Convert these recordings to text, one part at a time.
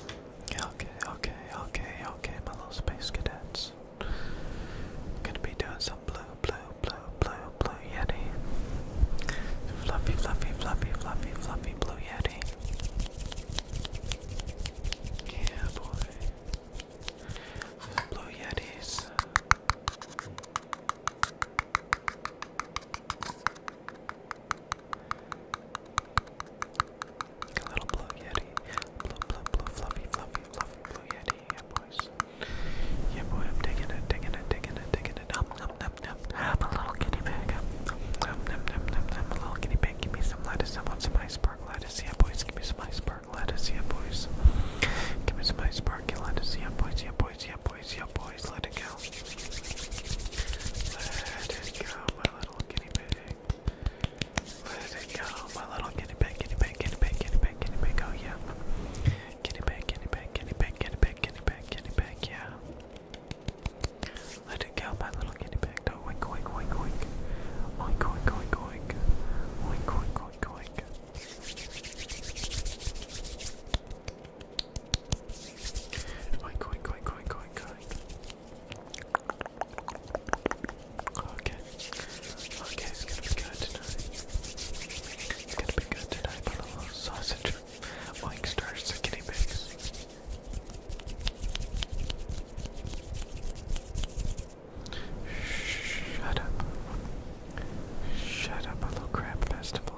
Okay, okay, okay, okay, my little space cadets. I'm gonna be doing some blue, blue, blue, blue, blue yeti. Fluffy, fluffy, fluffy, fluffy, fluffy blue yeti. Yeah, boy. These blue yetis. A little blue yeti. Blue, blue, blue, fluffy, fluffy, fluffy, blue yeti. Yeah, boys. Yeah, boy, I'm digging it, digging it, digging it, digging it. Um, um, um, um. a little guinea pig. Um, um, um, um, um, um. A little guinea pig. Give me some lettuce. I want some iceberg lettuce. Yeah, boys. Give me some iceberg lettuce. Yeah, boys. Give me some iceberg lettuce. Yeah, boys. Yeah, boys. Yeah, boys. Yeah, boys. Let it go. Let it go, my little guinea it go? My little guinea pig, guinea pig, guinea pig, guinea pig, guinea pig. Oh yeah. Guinea pig, guinea pig, guinea pig, guinea pig, guinea pig, guinea pig. Yeah. Let it go, my little guinea pig. Oh, oink, oink, oink, oink. Oink, oink, oink, oink. Oink, oink, oink, oink. Oink, oink, oink, oink, oink, oink. Okay. Okay, it's gonna be good It's gonna be good tonight, but a little sausage. Oink stars to guinea pigs. Shut up. Shut up, a little crab festival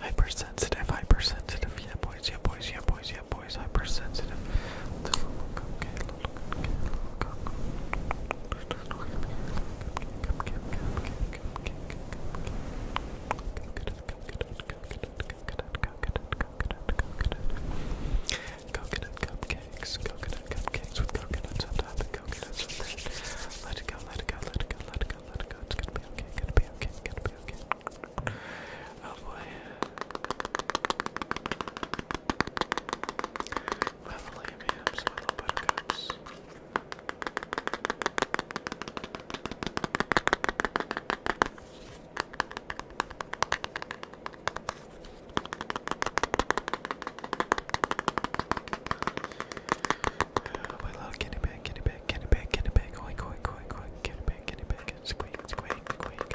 Hypersensitive, hypersensitive, yeah boys, yeah boys, yeah boys, yeah boys, hypersensitive. Look, Coconut cupcakes, coconut cupcakes with coconuts on top and coconuts on bread. Let it go, let it go, let it go, let it go, let it go. It's gonna be okay, gonna be okay, gonna be okay. Oh boy. I hams, my little buttercups. Oh, my little guinea pig, guinea pig, guinea pig, guinea pig, oink, oink, squeak, squeak, squeak.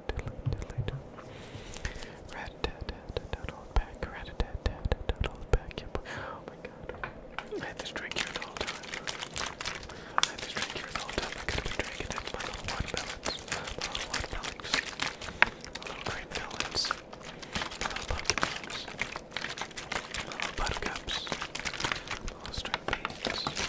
later. Rat tat tat tat all back. Rat tat tat tat all back. Oh my god. I had this drink here the whole time. I had this drink here the whole time. I could have been drinking it. My little watermelons. My little watermelons. My little grape melons. My little pumpkins. My little buttercups. My little string beans. Yeah, boys.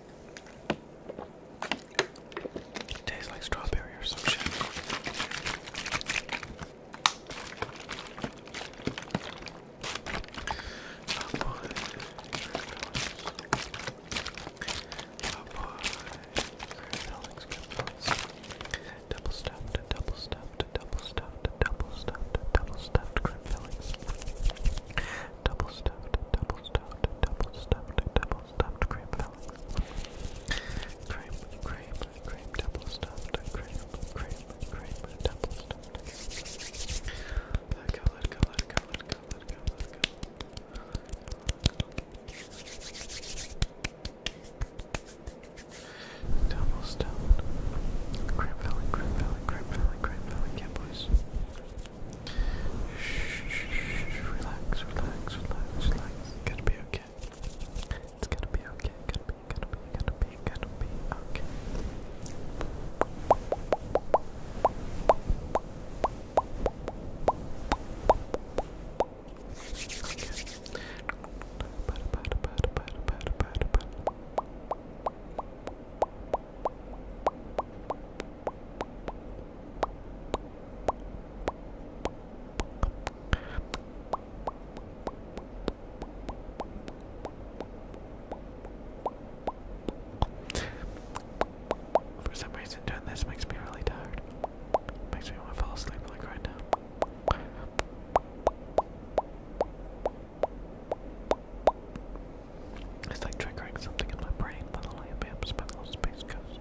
It tastes like strawberry or some shit. Double stuffed, double stuffed, double stuffed, double stuffed, double stuffed, double stuffed Double stuffed, double stuffed, double stuffed, double stuffed cream fillings. Cream, cream, cream, double stuffed, cream, cream, cream, double stuffed. Let go, let go, let go, Double stuffed. Cream filling, cream filling, cream filling, cream filling, yeah boys. Relax, relax, relax, relax. It's gonna be okay. It's gonna be okay. Gonna be, gonna be, gonna be, gonna be Okay. For some reason, doing this makes me really tired. Makes me want to fall asleep like right now. It's like triggering something in my brain, by the way, I'm spent a lot space coast.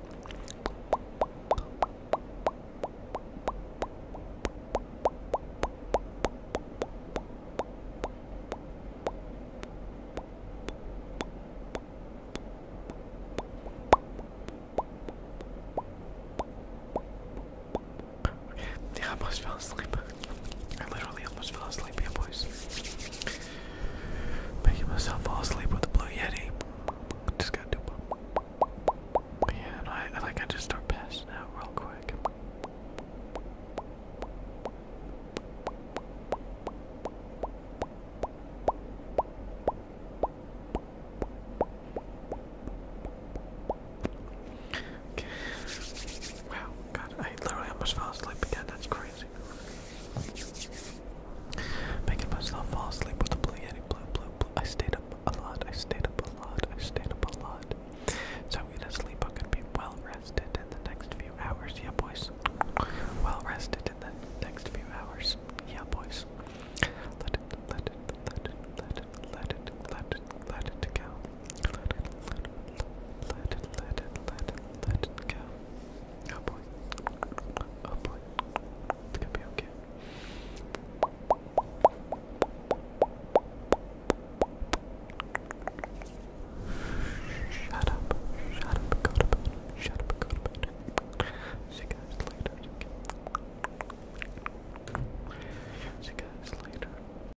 yeah, I must fell asleep. I literally almost fell asleep here, boys. Making myself fall asleep with the blue yeti. Just gotta do. Yeah, I like I just start passing out real quick. Wow, God, I literally almost fell asleep again. That's crazy. Making myself fall asleep with the blue yeti. Blue, blue, blue. I stayed up a lot. I stayed up a lot. I stayed up a lot. So I'm gonna sleep. I'm gonna be well rested in the next few hours. Yeah, boys. Well rested in the next few hours. Yeah, boys. Let it, let it, let it, let it, let it, let it, let it go. Let it, let it, let it, let it, let it, let it go. Oh boy. Oh boy. It's gonna be okay. Shut up. Shut up. Go to bed. Shut up. Go to bed. See you guys later. See you guys later.